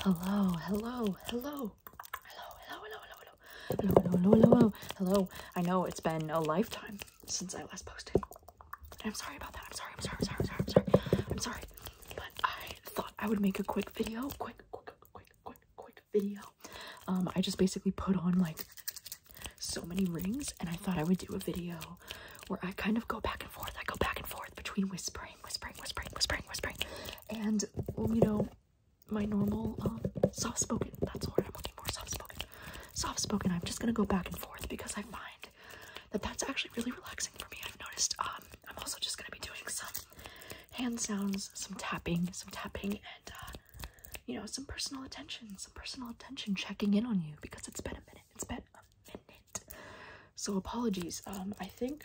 Hello, hello, hello. Hello, hello, hello, hello, hello. Hello, hello, hello, hello. Hello. I know it's been a lifetime since I last posted. And I'm sorry about that. I'm sorry, I'm sorry, I'm sorry, I'm sorry, I'm sorry. I'm sorry. But I thought I would make a quick video. Quick, quick, quick, quick, quick video. Um, I just basically put on like so many rings and I thought I would do a video where I kind of go back and forth. I go back and forth between whispering, whispering, whispering, whispering, whispering, and you know, my normal um, soft spoken. That's what I'm looking for. Soft spoken. Soft spoken. I'm just gonna go back and forth because I find that that's actually really relaxing for me. I've noticed. Um, I'm also just gonna be doing some hand sounds, some tapping, some tapping, and uh, you know, some personal attention, some personal attention, checking in on you because it's been a minute. It's been so apologies. Um, I think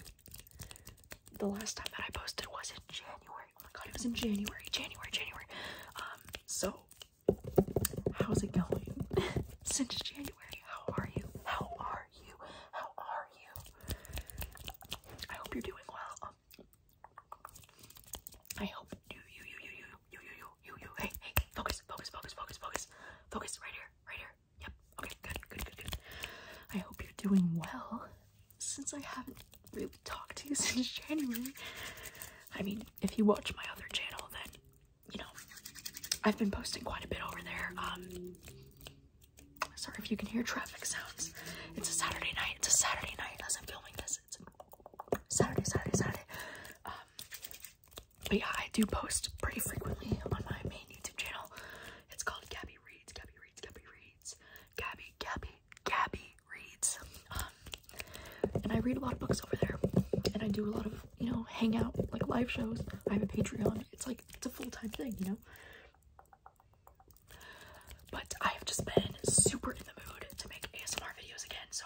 the last time that I posted was in January. Oh my god, it was in January, January, January. Um, so how's it going since January? How are you? How are you? How are you? I hope you're doing well. I hope you, you, you, you, you, you, you, you you, you, Hey, hey, focus, focus, focus, focus, focus, focus. Right here, right here. Yep. Okay, good, good, good, good. I hope you're doing well. Since I haven't really talked to you since January, I mean, if you watch my other channel, then you know I've been posting quite a bit over there. Um, sorry if you can hear traffic sounds. It's a Saturday night. It's a Saturday night as I'm filming this. It's Saturday, Saturday, Saturday. Um, but yeah, I do post pretty frequently on my main YouTube channel. It's called Gabby Reads, Gabby Reads, Gabby Reads, Gabby, Gabby, Gabby Reads. Um, and I read a lot of books over there. And I do a lot of, you know, hangout, like live shows. I have a Patreon. It's like, it's a full-time thing, you know? But I have just been super in the mood to make ASMR videos again, so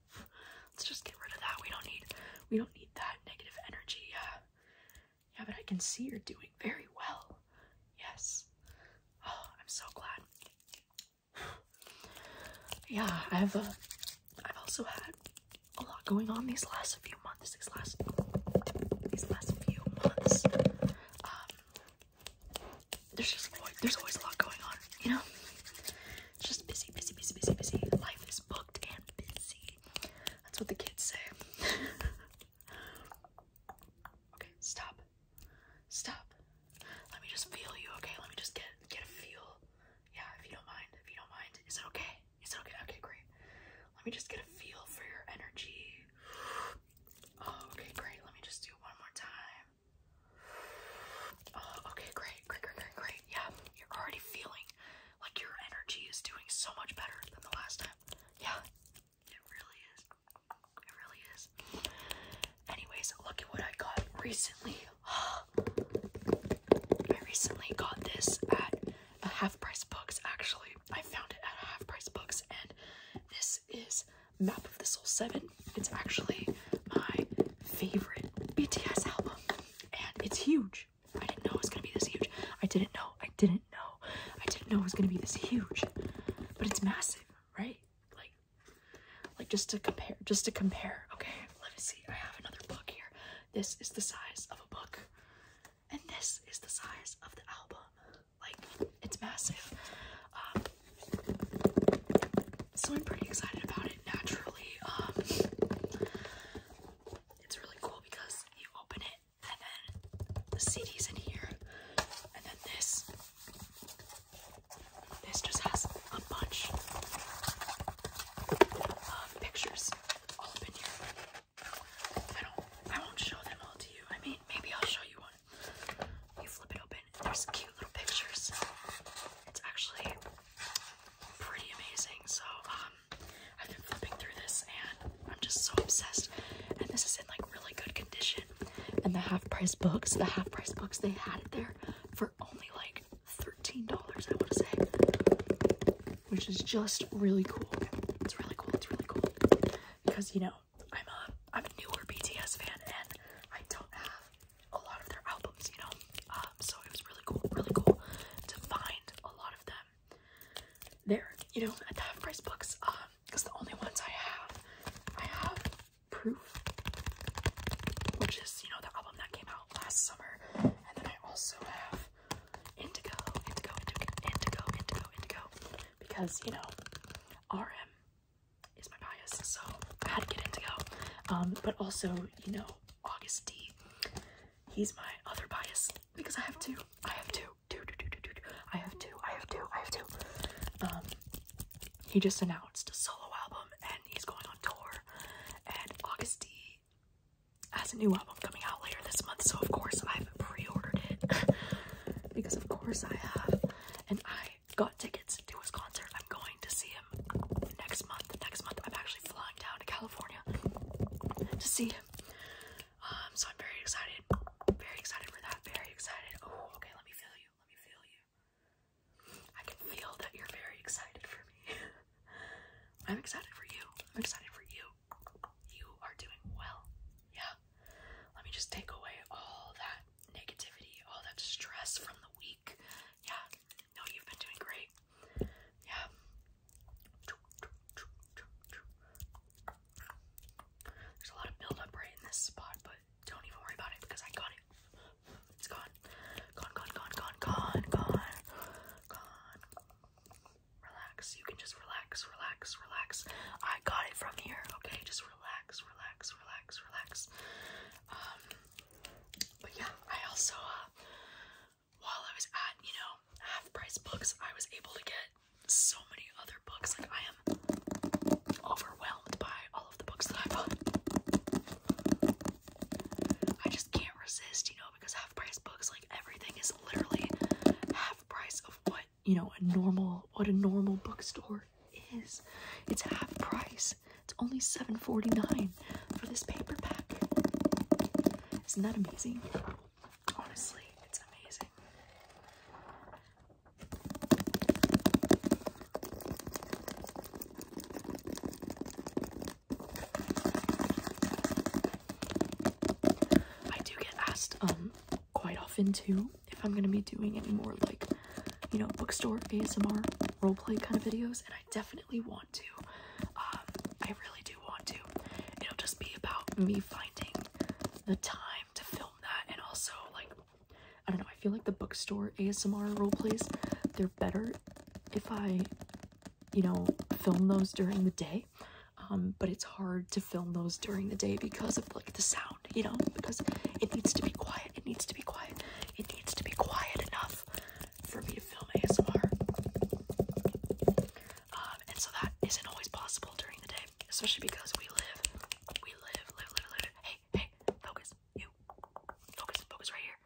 Let's just get rid of that. We don't need we don't need that negative energy. Yeah. Yeah, but I can see you're doing very well. Yes. Oh, I'm so glad. yeah, I've uh, I've also had a lot going on these last few months. These last these last few months. Um, there's just there's always a lot going on, you know. It's just busy, busy, busy, busy, busy. Life is booked and busy. That's what the kids say. okay, stop. Stop. Let me just feel you, okay? Let me just get get a feel. Yeah, if you don't mind, if you don't mind. Is it okay? Is it okay? Okay, great. Let me just get a feel for your energy. Oh, okay, great. Let me just do one more time. Oh, okay, great, great, great, great, great. Yeah, you're already feeling like your energy is doing so much better than the last time. Yeah, it really is. It really is. Anyways, look at what I got recently. I recently got this at half price books, actually. I found it at half price books, and this is Map of the Soul 7 it's actually my favorite BTS album, and it's huge. I didn't know it was gonna be this huge. I didn't know. I didn't know. I didn't know it was gonna be this huge, but it's massive, right? Like, like just to compare, just to compare. Okay, let me see. I have another book here. This is the size of a book, and this is the size of the album. Like, it's massive. Um, so I'm pretty excited about it naturally. Um it's really cool because you open it and then the CD's in here and then this this just has a bunch of pictures all up in here. I don't I won't show them all to you. I mean maybe I'll show you one. You flip it open there's cute little pictures. It's actually pretty amazing. So, um, I've been flipping through this and I'm just so obsessed. And this is in like really good condition. And the half price books, the half price books, they had it there for only like $13, I want to say, which is just really cool. It's really cool. It's really cool because you know I'm a I'm a newer BTS fan and I don't have a lot of their albums, you know. Um, so it was really cool, really cool to find a lot of them there, you know, at the half price books. Um, because the only ones I have, I have Proof, which is you know the album that came out last summer, and then I also have Indigo, Indigo, Indigo, Indigo, Indigo, Indigo, because you know, RM is my bias, so I had to get Indigo. Um, but also, you know, August D, he's my other bias because I have two. I have two. Two, two, two, two, two, two. I have two. I have two. I have two. Um, he just announced a solo album and he's going on tour. And August D has a new album coming out later this month, so of course I've pre-ordered it because of course I have. And I got tickets to his concert. I'm going to see him next month. Next month, I'm actually flying down to California to see him. Um, so I'm very excited. Very excited for that. Very excited. Oh, okay. Let me feel you. Let me feel you. I can feel that you're very excited for me. I'm excited for you. I'm excited for you. You are doing well. Yeah. Let me just take away all that negativity, all that stress from the week. Yeah, no, you've been doing great. Yeah. There's a lot of buildup right in this spot, but don't even worry about it because I got it. It's gone. Gone, gone, gone, gone, gone, gone, Relax. You can just relax, relax, relax. I got it from here, okay? Just relax, relax, relax, relax. Um, but yeah, I also, uh, while I was at, you know, half price books, I was able to get so many other books. Like, I am overwhelmed by all of the books that I bought. I just can't resist, you know, because half price books, like, everything is literally half price of what you know a normal what a normal bookstore is. It's half price. It's only seven forty nine for this paperback. Isn't that amazing? Honestly, it's amazing. I do get asked um, quite often too if I'm gonna be doing any more like you know bookstore ASMR roleplay kind of videos and I definitely want to um I really do want to it'll just be about me finding the time to film that and also like I don't know I feel like the bookstore ASMR roleplays they're better if I you know film those during the day um, but it's hard to film those during the day because of like the sound you know because it needs to be quiet it needs to be quiet it needs to be quiet enough for me to film asmr um, and so that isn't always possible during the day especially because we live we live live live live hey hey focus you focus focus right here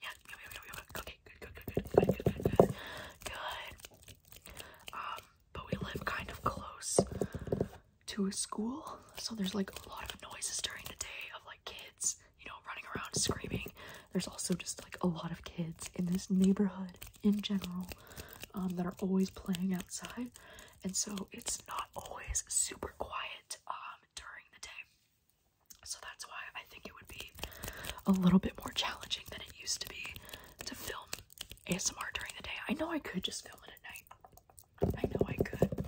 yeah okay good good good good good good good um, but we live kind of close to a school, so there's like a lot of noises during the day of like kids, you know, running around screaming. There's also just like a lot of kids in this neighborhood in general um, that are always playing outside, and so it's not always super quiet um, during the day. So that's why I think it would be a little bit more challenging than it used to be to film ASMR during the day. I know I could just film it at night. I know I could.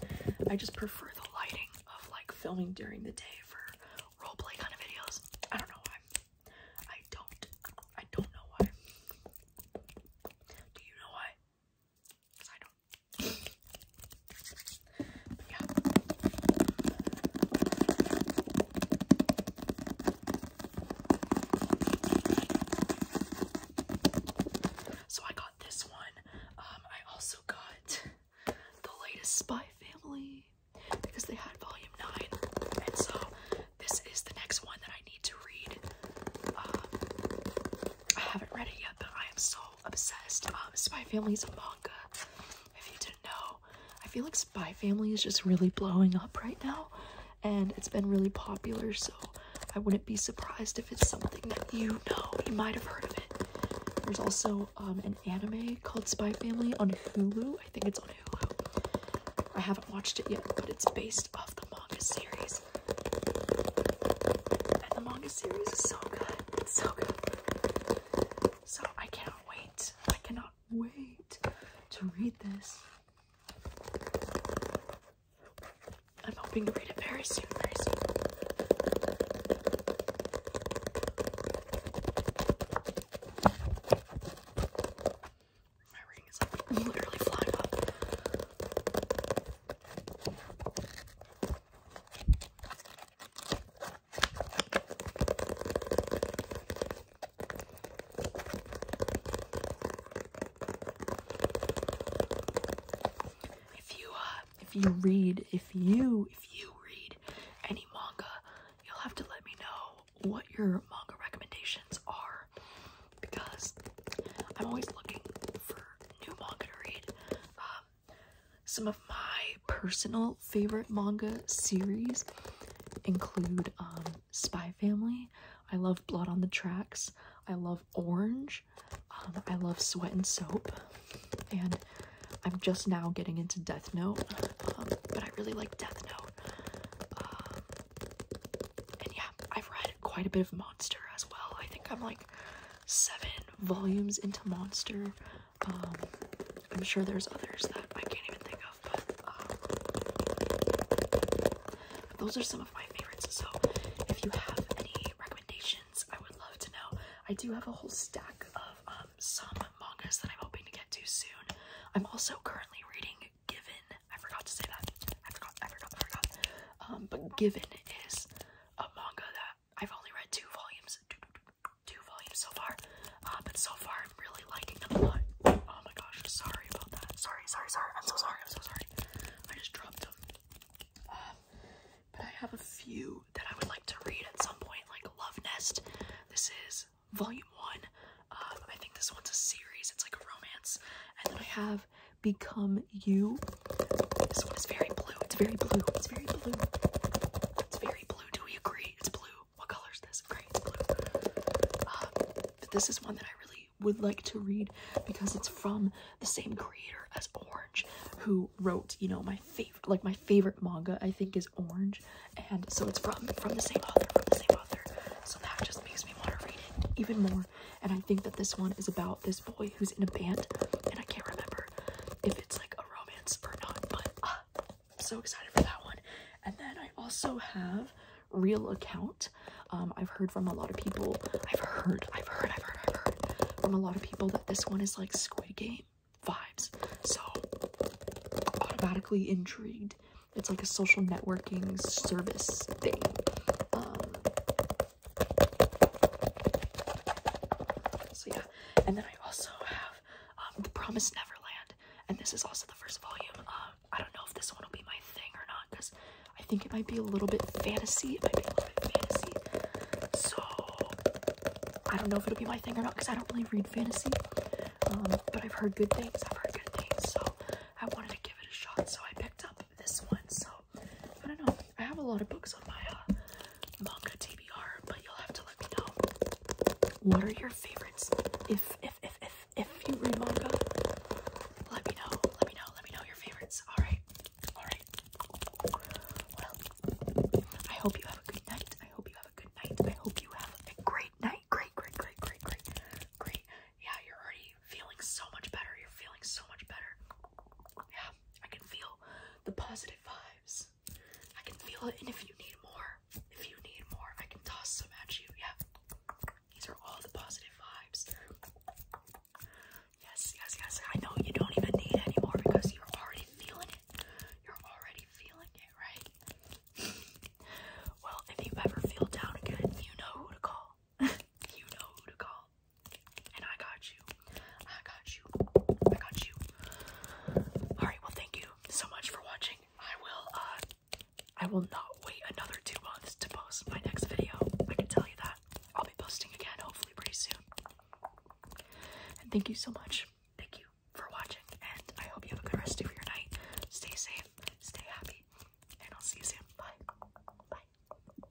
I just prefer the lighting of like filming during the day for roleplay kind of videos. I don't know why. I don't. I don't know why. Do you know why? Because I don't. yeah. So I got this one. Um, I also got the latest Spy Family because they had volume 9. And so this is the next one that I need to read. Um, I haven't read it yet, but I am so obsessed. Um, Spy Family is a manga know. I feel like Spy Family is just really blowing up right now, and it's been really popular, so I wouldn't be surprised if it's something that you know. You might have heard of it. There's also um, an anime called Spy Family on Hulu. I think it's on Hulu. I haven't watched it yet, but it's based off the manga series. And the manga series is so good. It's so good. So I cannot wait. I cannot wait to read this. I'm hoping to read it very soon, very soon. My ring is like literally flying off. If you uh if you read if you if you read any manga, you'll have to let me know what your manga recommendations are because I'm always looking for new manga to read. Um, some of my personal favorite manga series include um, Spy Family. I love Blood on the Tracks. I love Orange. Um, I love Sweat and Soap. And I'm just now getting into Death Note, um, but I really like Death Note. and yeah, I've read quite a bit of Monster as well. I think I'm like seven volumes into Monster. Um, I'm sure there's others that I can't even think of, but um, those are some of my favorites. So if you have any recommendations, I would love to know. I do have a whole stack of um, some mangas that I'm hoping to get to soon. I'm also currently reading Given. I forgot to say that. I forgot, I forgot, I forgot. Um, but Given is a manga that I've only read two volumes, two volumes so far, uh, but so far I'm really liking them a lot. Oh my gosh, sorry about that. Sorry, sorry, sorry. I'm so sorry. I'm so sorry. I just dropped them. Um, but I have a few that I would like to read at some point, like Love Nest. This is volume one. Um, I think this one's a series. It's like a romance. And then I have Become You. This one is very blue. It's very blue. It's very blue. It's very blue. Do we agree? It's blue. What color is this? Great, blue. Uh, but this is one that I really would like to read because it's from the same creator as Orange, who wrote, you know, my favorite, like my favorite manga, I think, is Orange, and so it's from from the same author, from the same author. So that just makes me want to read it even more. And I think that this one is about this boy who's in a band, and I can't remember if it's like romance or not, but uh, I'm so excited for that one. And then I also have Real Account. Um, I've heard from a lot of people, I've heard, I've heard, I've heard, I've heard from a lot of people that this one is like Squid Game vibes. So automatically intrigued. It's like a social networking service thing. Um, so yeah, and then I also have um, The Promised Neverland. And this is also the first volume. Um, I don't know if this one will be my thing or not because I think it might be a little bit fantasy. So I don't know if it'll be my thing or not because I don't really read fantasy. Um, but I've heard good things. I've heard good things. So I wanted to give it a shot. So I picked up this one. So I don't know. I have a lot of books on my uh, manga TBR, but you'll have to let me know. What are your favorites? If if if if if you read manga, let me know. Let me know. Let me know your favorites. All right. All right. Well, I hope you have a good night. I hope you have a good night. I hope you have a great night. Great, great, great, great, great, great. Yeah, you're already feeling so much better. You're feeling so much better. Yeah. I can feel the positive vibes. I can feel it, and if you need more, if you need more, I can toss some at you. Yeah, these are all the positive vibes. Yes, yes, yes. I know you don't even need it anymore because you're already feeling it. You're already feeling it, right? well, if you ever feel down again, you know who to call. you know who to call. And I got you. I got you. I got you. Alright, well thank you so much for watching. I will uh, I will not wait another two months to post my next video. I can tell you that. I'll be posting again hopefully pretty soon. And thank you so much. Thank you for watching and I hope you have a good rest of your night. Stay safe, stay happy, and I'll see you soon. Bye. Bye.